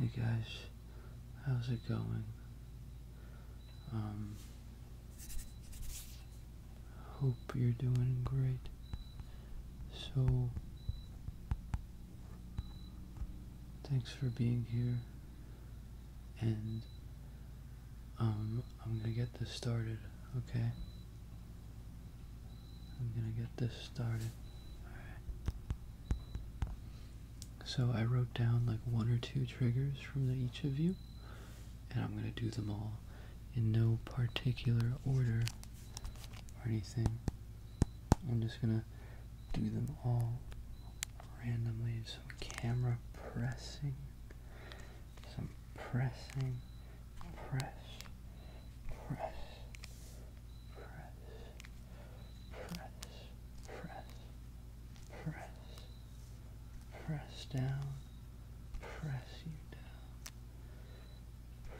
Hey guys, how's it going? Um, hope you're doing great. So, thanks for being here, and um, I'm gonna get this started, okay? I'm gonna get this started. So I wrote down like one or two triggers from each of you, and I'm going to do them all in no particular order or anything. I'm just going to do them all randomly. Some camera pressing, some pressing, press, press, press, press, press, press, press down, press you down,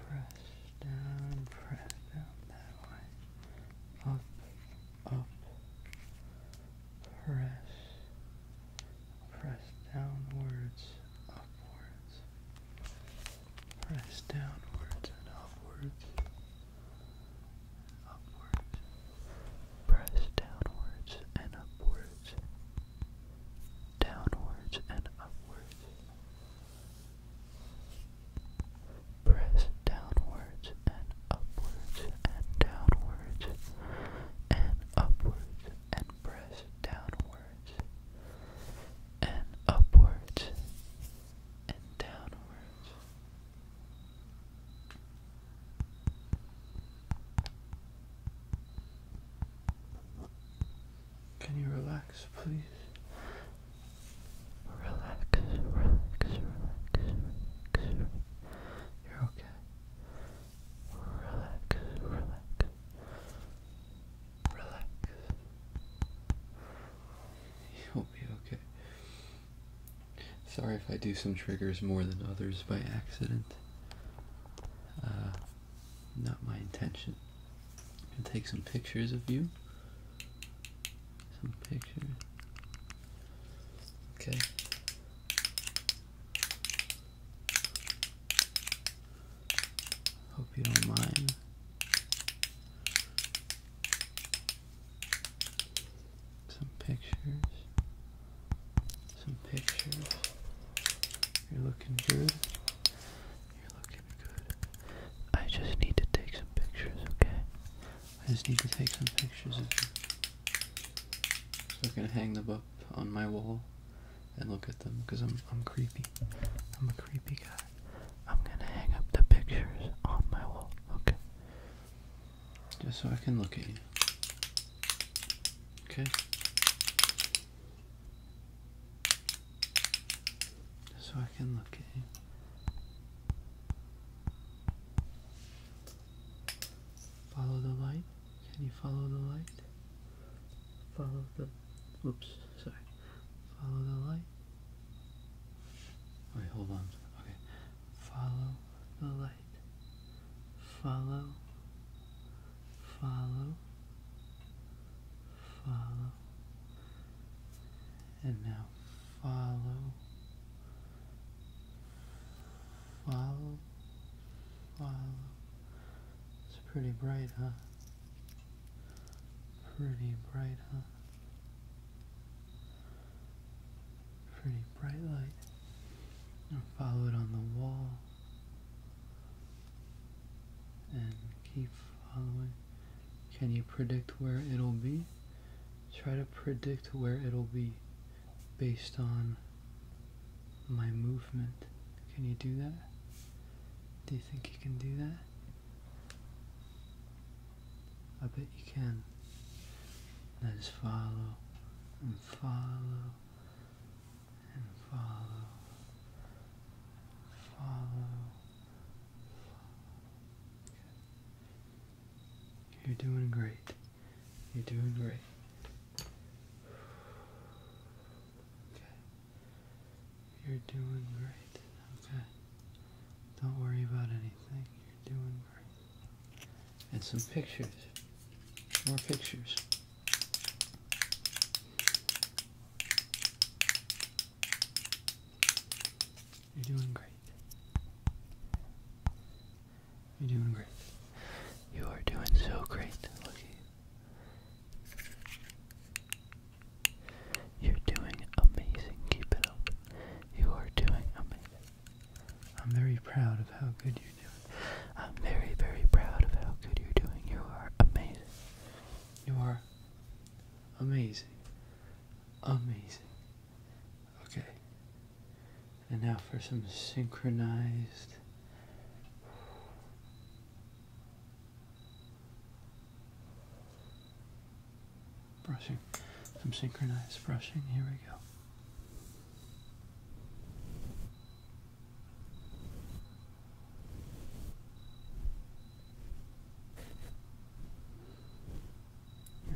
press down, press down that way, up, up, press, press downwards, upwards press downwards and upwards, upwards, press downwards and upwards, downwards and upwards, press downwards and upwards and downwards and upwards and press downwards and upwards can you relax, please? relax, relax, relax. You're okay. Relax, relax, relax. You'll be okay. Sorry if I do some triggers more than others by accident. Uh, not my intention. i take some pictures of you. Some pictures. Okay. Hope you don't mind. Some pictures. Some pictures. You're looking good. You're looking good. I just need to take some pictures, okay? I just need to take some pictures So i can hang them up on my wall and look at them because I'm I'm creepy. I'm a creepy guy. I'm gonna hang up the pictures on my wall, okay? Just so I can look at you. Okay? Just so I can look at you. Follow the light. Can you follow the light? Follow the. Oops, sorry. Follow the light. Wait, hold on. Okay. Follow the light. Follow. Follow. Follow. And now follow. Follow. Follow. It's pretty bright, huh? Pretty bright, huh? Pretty bright light. Now follow it on the wall. And keep following. Can you predict where it'll be? Try to predict where it'll be based on my movement. Can you do that? Do you think you can do that? I bet you can. Let's follow and follow and follow. Follow. follow. You're doing great. You're doing great. Okay. You're doing great. Okay. Don't worry about anything. You're doing great. And some pictures. More pictures. You're doing great. You're doing great. You are doing so great. Look you're doing amazing. Keep it up. You are doing amazing. I'm very proud of how good you're doing. I'm very, very proud of how good you're doing. You are amazing. You are amazing. Amazing. Okay. And now for some synchronized Brushing, some synchronized brushing. Here we go.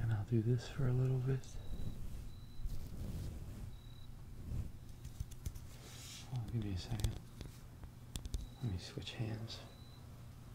And I'll do this for a little bit. Hold me a second. Let me switch hands.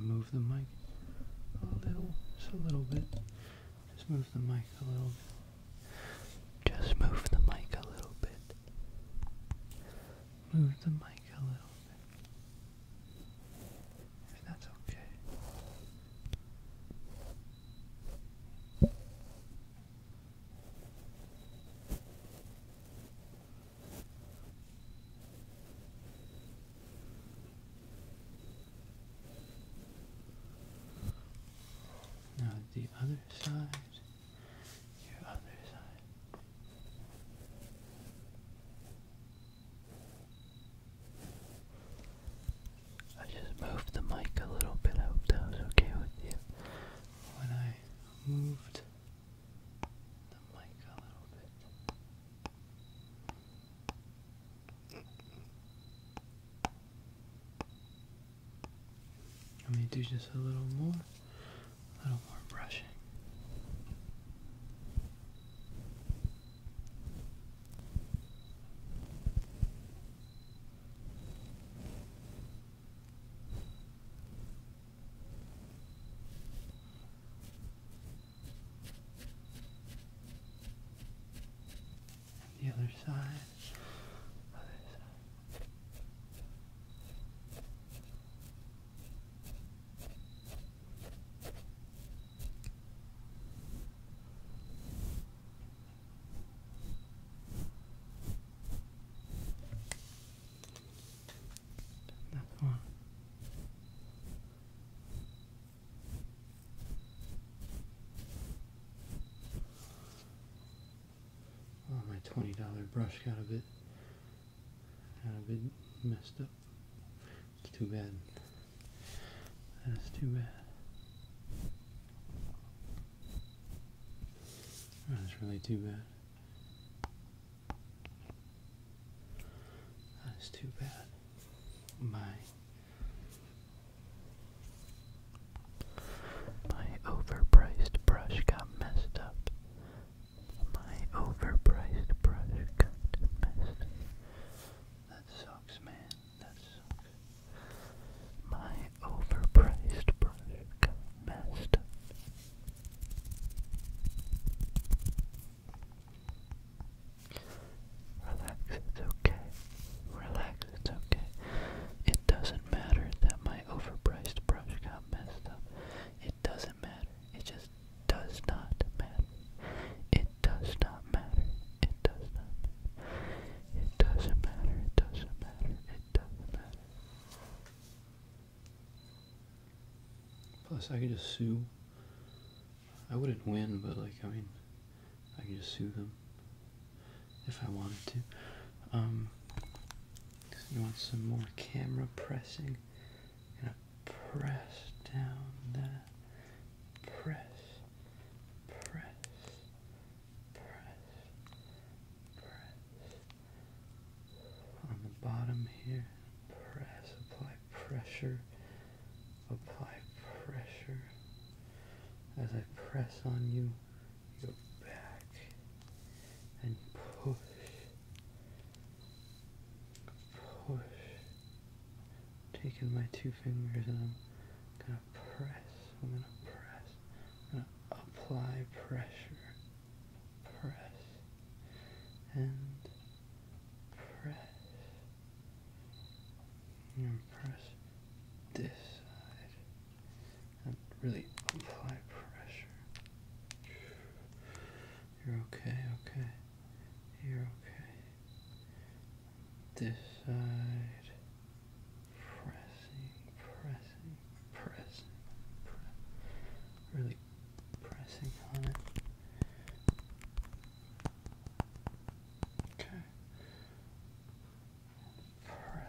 move the mic a little, just a little bit. Just move the mic a little bit. Just move the mic a little bit. Move the mic a little bit and that's okay. Now the other side, your other side. I just moved the mic a little bit. I hope that was okay with you. When I moved the mic a little bit. Let me do just a little more, a little more brushing. And the other side. Other side. Oh, my twenty dollar brush got a bit, got a bit messed up. It's too bad. That is too bad. That's really too bad. That's too bad. My my overpriced brush got messed up. My overpriced brush got messed up. That sucks, man. My overpriced brush got messed up. Relax, it's okay. Relax, it's okay. It doesn't matter that my overpriced brush got messed up. It doesn't matter. It just does not matter. It does not matter. It does not matter. It doesn't matter. It doesn't matter. It doesn't matter. Plus, I could just sue. I wouldn't win, but like, I mean, I could just sue them if I wanted to. Um, you want some more camera pressing? I'm gonna press down that. Press press, press, press. On the bottom here, press, apply pressure, apply pressure. As I press on you, you back and push, push, taking my two fingers and I'm gonna press, I'm gonna press, gonna apply pressure, press, and press, and press this side, and really apply pressure. You're okay, okay. You're okay. This side. Pressing, pressing, pressing, really pressing on it. Okay. Press.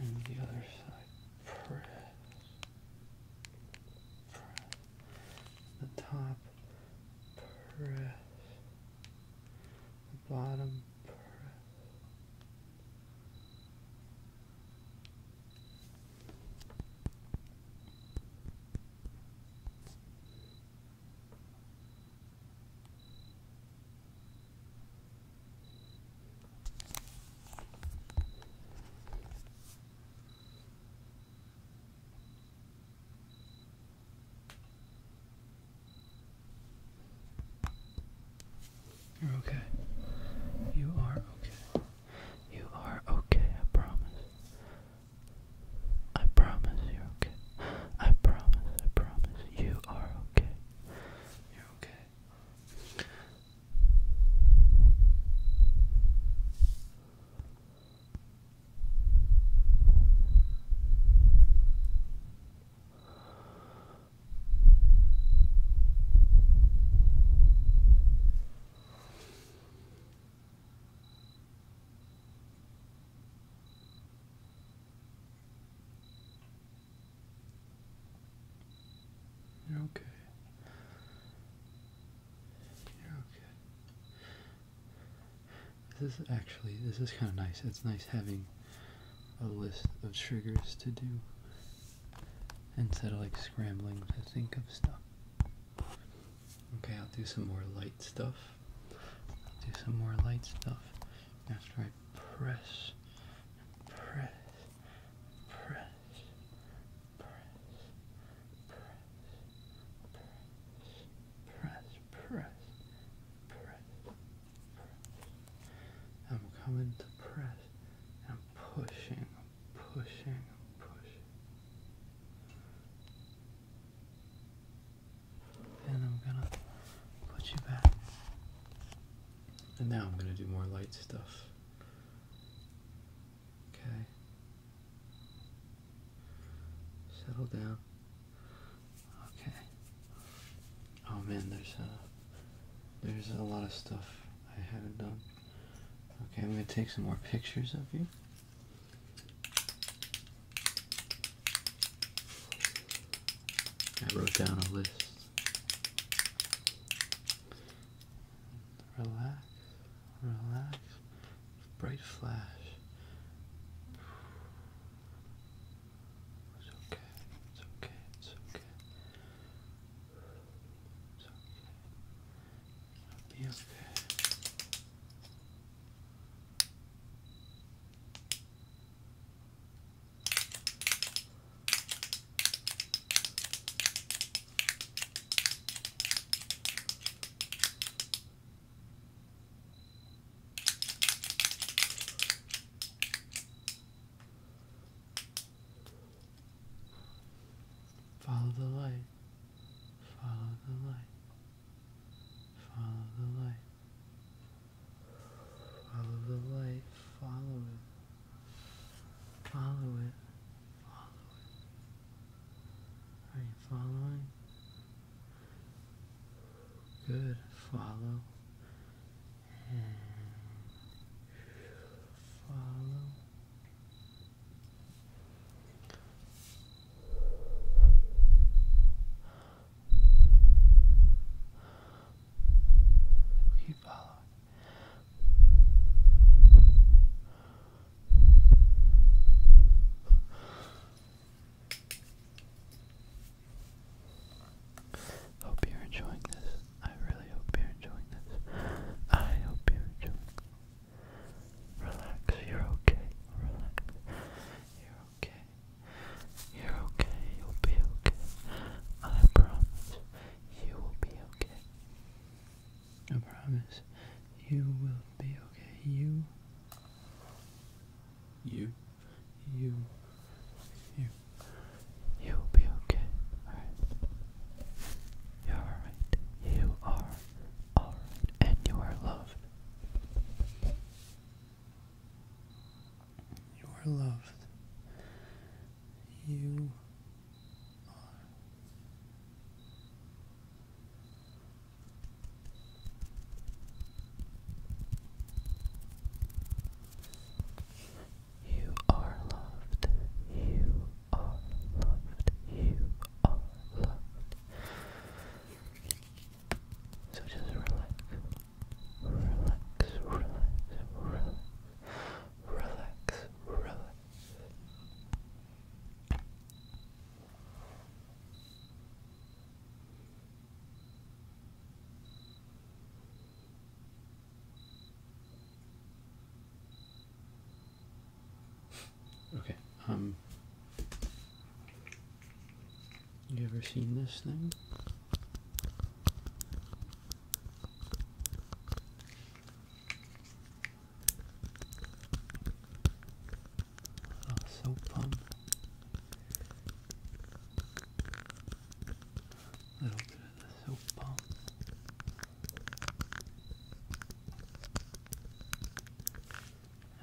And the other side. Press. Press. The top press the bottom you're okay. You are okay. You are okay, I promise. I promise you're okay. I promise, I promise. You are okay. You're okay. You're okay. You're okay. This is actually, this is kind of nice. It's nice having a list of triggers to do instead of like scrambling to think of stuff. Okay, I'll do some more light stuff. I'll do some more light stuff after I press, press, press, press, press, press, press, press. I'm coming to press. I'm pushing, pushing, pushing. And I'm gonna put you back. And now I'm gonna do more light stuff. Okay. Settle down. Okay. Oh man, there's a there's a lot of stuff I haven't done. Okay, I'm gonna take some more pictures of you. I wrote down a list relax, relax, bright flash. It's okay, it's okay, it's okay. It's okay. It'll be okay. It's okay. Follow the light. Follow the light. Follow the light. Follow the light. Follow it. Follow it. Follow it. Are you following? Good. Follow and follow. Keep following. Hope you're enjoying this. I really hope you're enjoying this. I hope you're enjoying Relax, you're okay. Relax. You're okay. You're okay. You'll be okay. I promise you will be okay. I promise you will be okay. You. You. You. You. You'll be okay. You're alright. You are alright. And you are loved. You are loved. You you are loved. You are loved. You are loved. So just relax. Relax, relax, relax. Relax, okay, um, you ever seen this thing? Oh, so plump. A little bit of the soap bomb.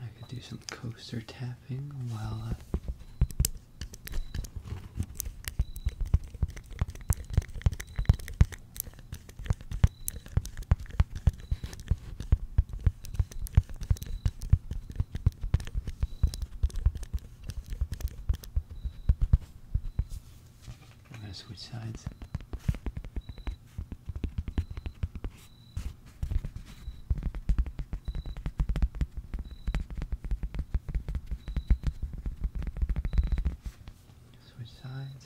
I could do some coaster tapping while uh, I'm gonna switch sides. Switch sides.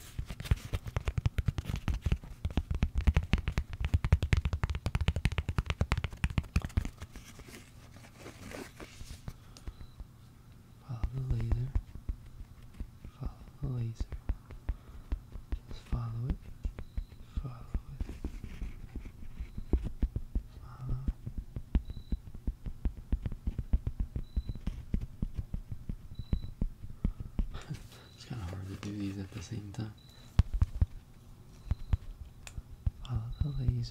Follow the laser. Follow the laser. Just follow it. Follow it. Follow. It's kind of hard to do these at the same time. Follow the laser.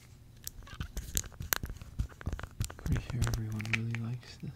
Pretty sure everyone really likes this.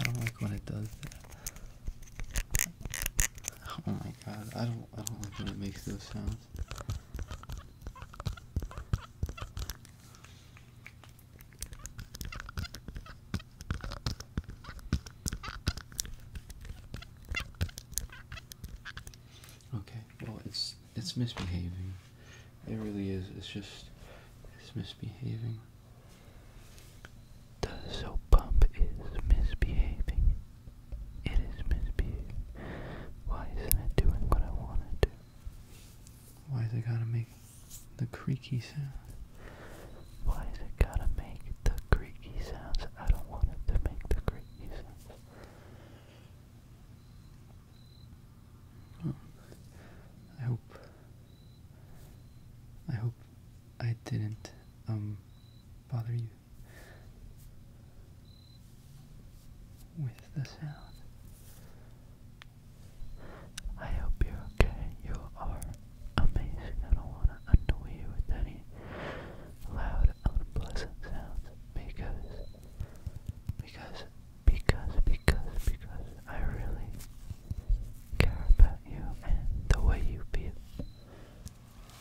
I don't like when it does that. Oh my god, I don't I don't like when it makes those sounds. Okay, well it's it's misbehaving. It really is. It's just it's misbehaving. The soap pump is misbehaving. It is misbehaving. Why isn't it doing what I want it to? Why is it gotta make the creaky sound? Why is it gotta make the creaky sounds? I don't want it to make the creaky sounds. I hope I hope I didn't um bother you with the sound. I hope you're okay. You are amazing. I don't want to annoy you with any loud unpleasant sounds because, because, because, because, because I really care about you and the way you feel.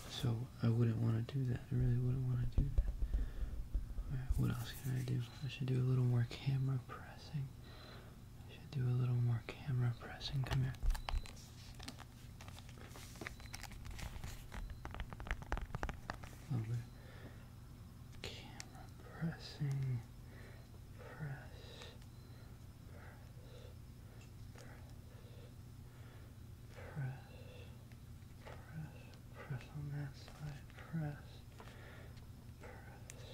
So I wouldn't want to do that. I really wouldn't want to do that. what else can I do? I should do a little more camera pressing. I should do a little more camera pressing. Come here. Camera pressing, press, press, press, press, press on that side, press, press, press, press,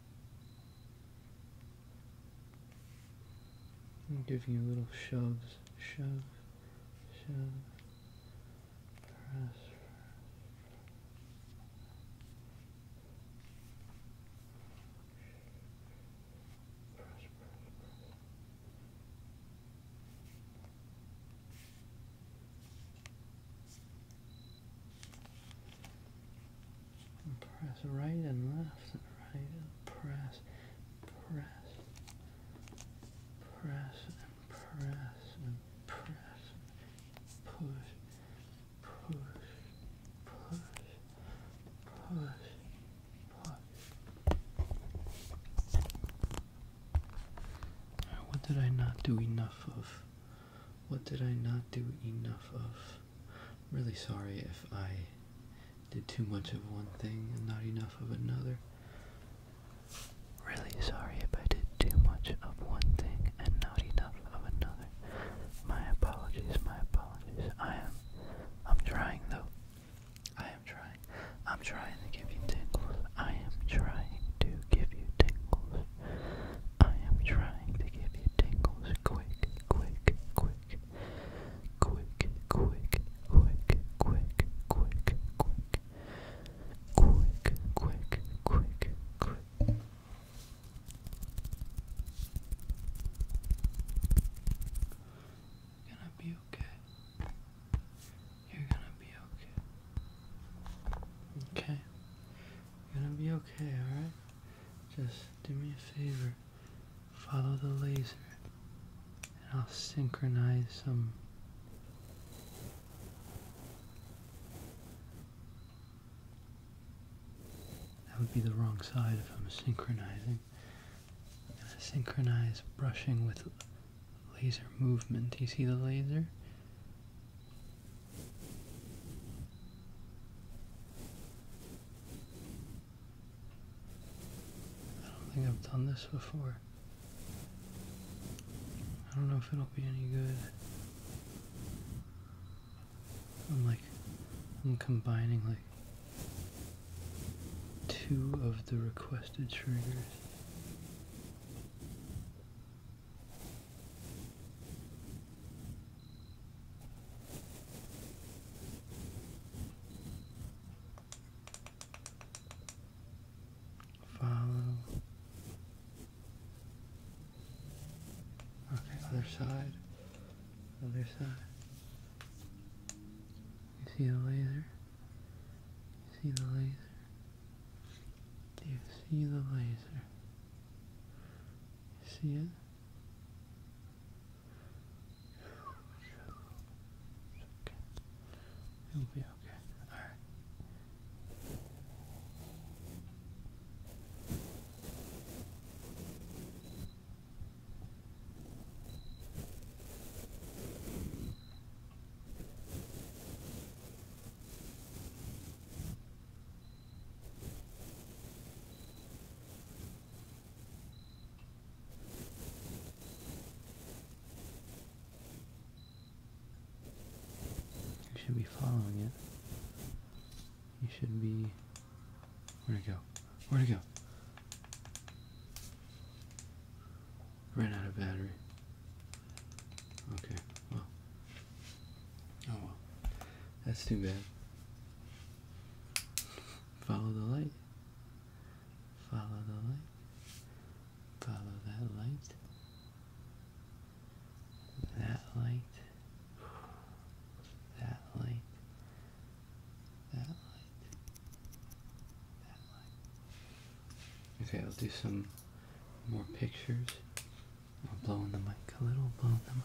I'm giving you little shoves, shove, shove, press press right and left, right and press, press, press and press and press, push, push, push, push, push. What did I not do enough of? What did I not do enough of? I'm really sorry if I did too much of one thing and not enough of another. Really sorry if I did too much of one thing and not enough of another. My apologies, my apologies. I am I'm trying though. I am trying. I'm trying to give you tingles. I am trying to give you tingles. I am trying to give you tingles. Quick, quick, quick quick, quick, quick, quick, quick, quick, quick, quick, quick, quick, You're gonna be okay. You're gonna be okay. Okay. You're gonna be okay, alright? Just do me a favor follow the laser, and I'll synchronize some that would be the wrong side if I'm synchronizing. I'm going to synchronize brushing with laser movement. Do you see the laser? I don't think I've done this before. I don't know if it'll be any good. I'm like, I'm combining like two of the requested triggers. Follow. Okay, other side. Other side. You see the laser? You see the laser? Do you see the laser? You see it? It'll be okay. All right. Okay. You should be following it. You should be. Where'd it go? Where'd it go? Ran out of battery. Okay, well. Oh well. That's too bad. Follow the light. Follow the light. Follow that light. That light. That light. That light. That light. Okay, I'll do some more pictures. I'm blowing the mic a little, blowing the mic.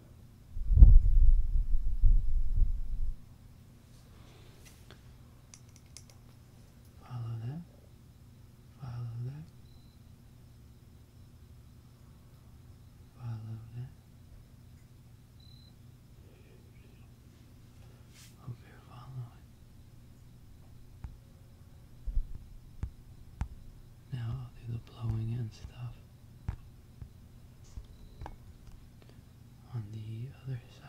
Follow that. Follow that. Follow that. Hope you're following. Now I'll do the blowing and stuff on the other side.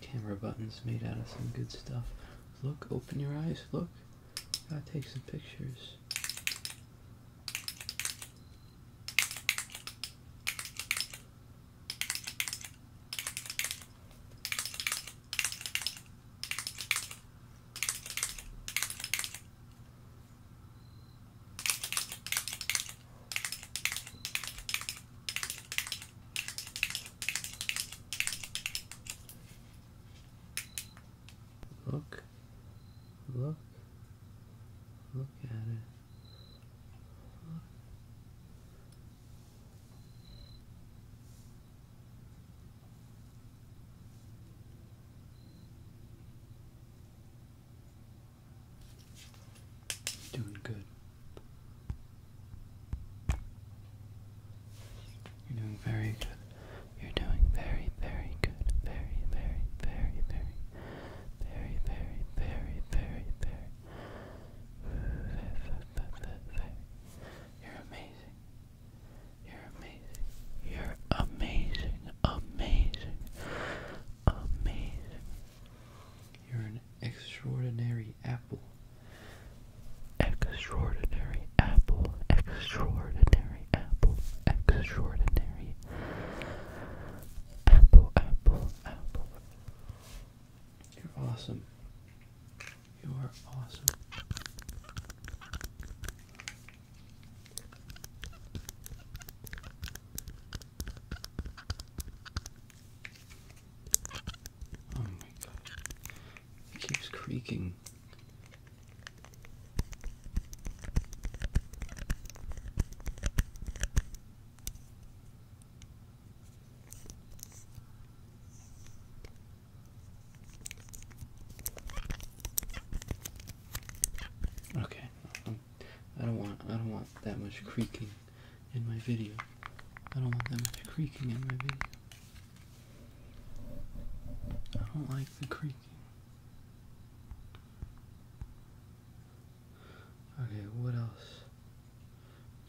camera buttons made out of some good stuff. Look, open your eyes, look. Gotta take some pictures. Look, look, look at it. Doing good. You're doing very good. You're doing very, very good. Very, very, very, very, very, very, very, very, very. You're amazing. You're amazing. You're amazing. Amazing. Amazing. You're an extraordinary apple. Extraordinary apple. Extraordinary apple. Extraordinary apple. Apple. Apple. You're awesome. You are awesome. Oh my god. It keeps creaking. Okay. I don't want I don't want that much creaking in my video. I don't want that much creaking in my video. I don't like the creaking. Okay, what else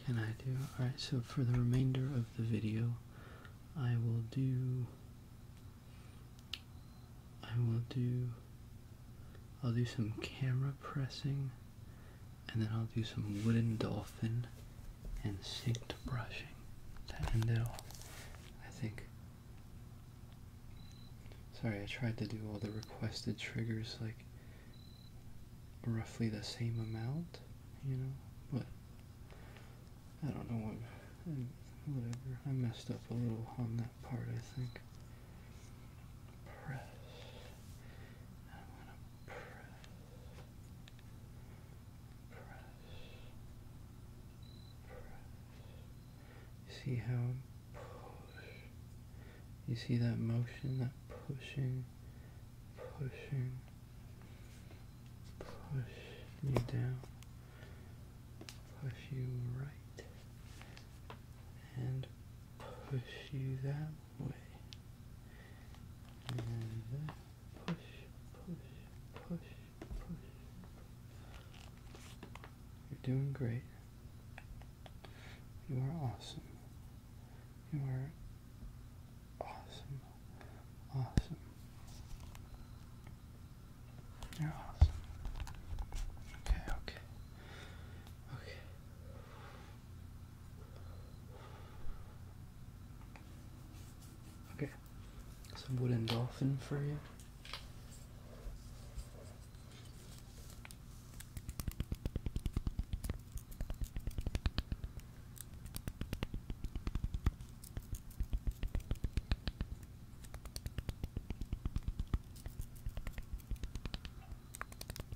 can I do? Alright, so for the remainder of the video, I will do. I will do. I'll do some camera pressing and then I'll do some wooden dolphin and synced brushing to end it off. I think. Sorry, I tried to do all the requested triggers like roughly the same amount, you know, but I don't know what. Whatever, I messed up a little on that part, I think press. I want to press. Press. Press. see how push. You see that motion, that pushing, pushing, push you down, push you right, and push you that way. And push, push, push, push. You're doing great. You are awesome. You are awesome. Awesome. You're awesome. Okay, okay. Okay. Okay, some wooden dolphin for you.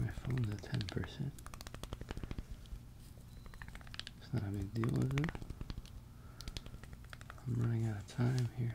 My phone's at ten percent. It's not a big deal, is it? I'm running out of time here.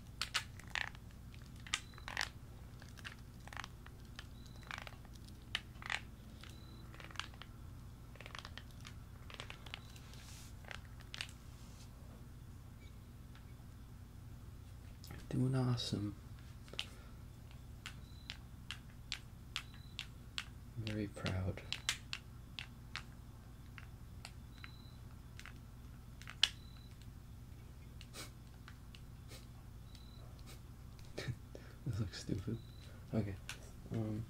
Doing awesome. I'm very proud. this looks stupid. Okay. Um.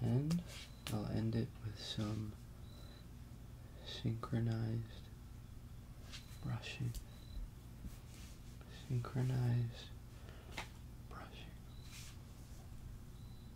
And I'll end it with some synchronized brushing. Synchronized brushing.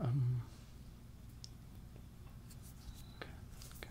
Um, okay, okay.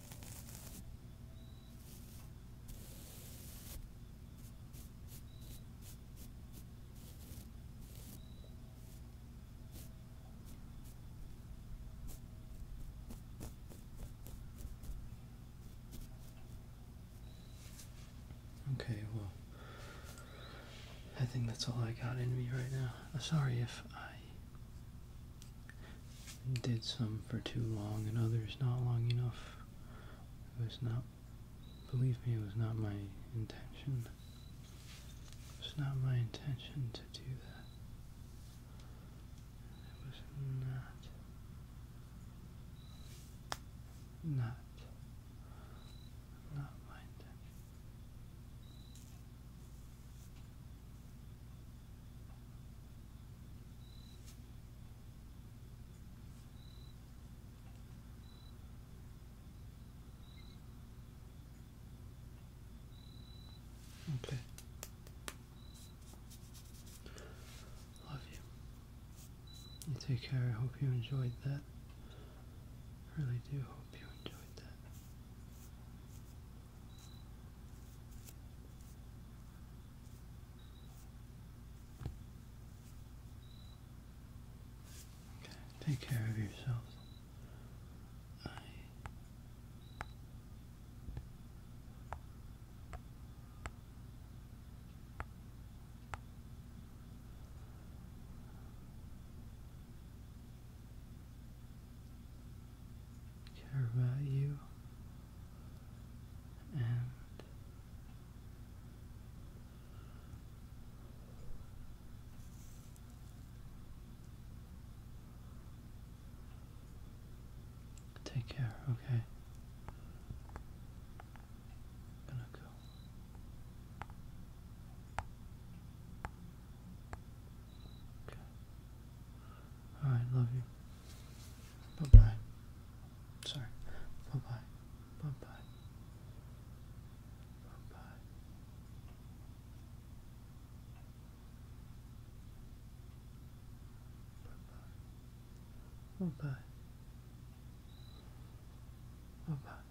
Okay, well, I think that's all I got in me right now. Sorry if I did some for too long and others not long enough. It was not, believe me, it was not my intention. It was not my intention to do that. It was not, not, not my intention. Okay. Love you. You take care. I hope you enjoyed that. I really do hope you enjoyed that. Take care of yourselves care about you and take care, okay? gonna go. Okay. All right, love you. Bye bye. Sorry. Bye bye. Bye bye. Bye bye. Bye bye. Bye bye. Bye bye.